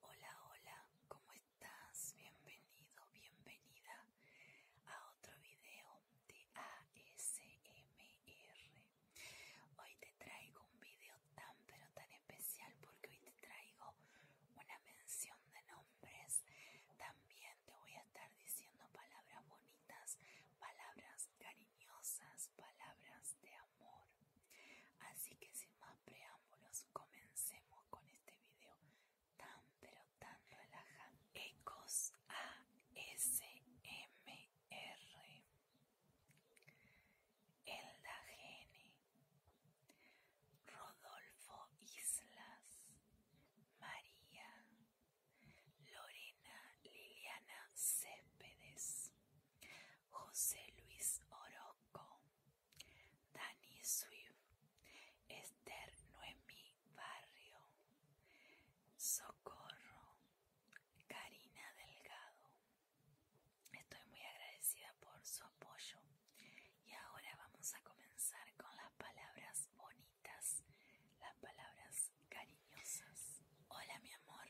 Hola, hola, ¿cómo estás? Bienvenido, bienvenida a otro video de ASMR. Hoy te traigo un video tan pero tan especial porque hoy te traigo una mención de nombre también te voy a estar diciendo palabras bonitas, palabras cariñosas, palabras de amor. Así que sin más preámbulos, comencemos con este video tan pero tan relajante. Ecos ASMR. Elda Gene. Rodolfo Islas, María, Lorena Liliana Céspedes, José Luis Oroco Dani Swift, Esther Noemi Barrio, Socorro, Karina Delgado. Estoy muy agradecida por su apoyo y ahora vamos a comenzar con las palabras bonitas, las palabras cariñosas. Hola mi amor,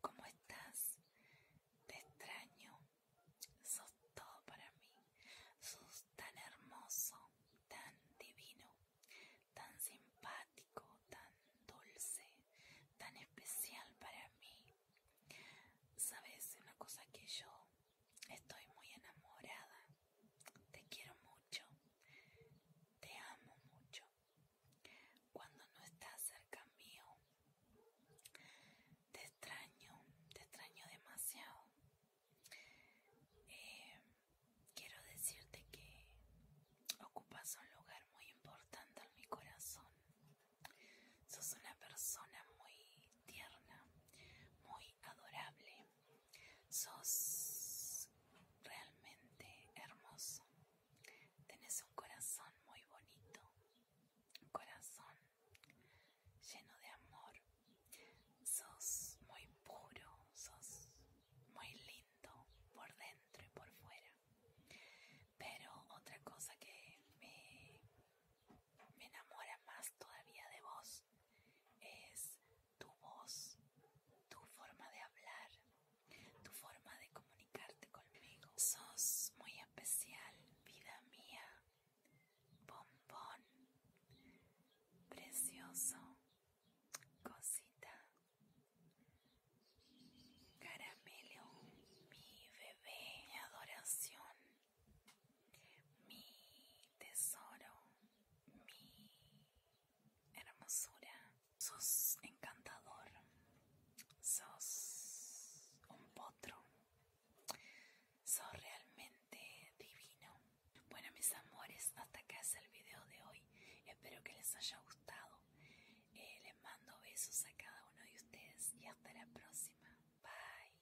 ¿cómo estás? Te extraño, sos todo para mí, sos tan hermoso, tan divino, tan simpático, tan dulce, tan especial para mí. Sabes, una cosa que yo Estoy muy enamorada. Te quiero mucho. Te amo mucho. Cuando no estás cerca mío, te extraño, te extraño demasiado. Eh, quiero decirte que ocupas un lugar muy importante en mi corazón. Sos una persona muy tierna, muy adorable. Sos realmente hermoso. Tenés un corazón muy bonito, un corazón lleno de amor. Sos muy puro, sos muy lindo por dentro y por fuera. Pero otra cosa que me me enamora más todavía de vos es tu voz, tu forma de hablar, tu forma de comunicarte conmigo. Sos muy especial, vida mía, bombón, precioso, cosita, caramelo, mi bebé, adoración mi tesoro, mi hermosura. Sos encantador, sos un potro, sos realmente divino. Bueno mis amores, hasta acá es el video de hoy. Espero que les haya gustado. Eh, les mando besos a cada uno de ustedes y hasta la próxima. Bye.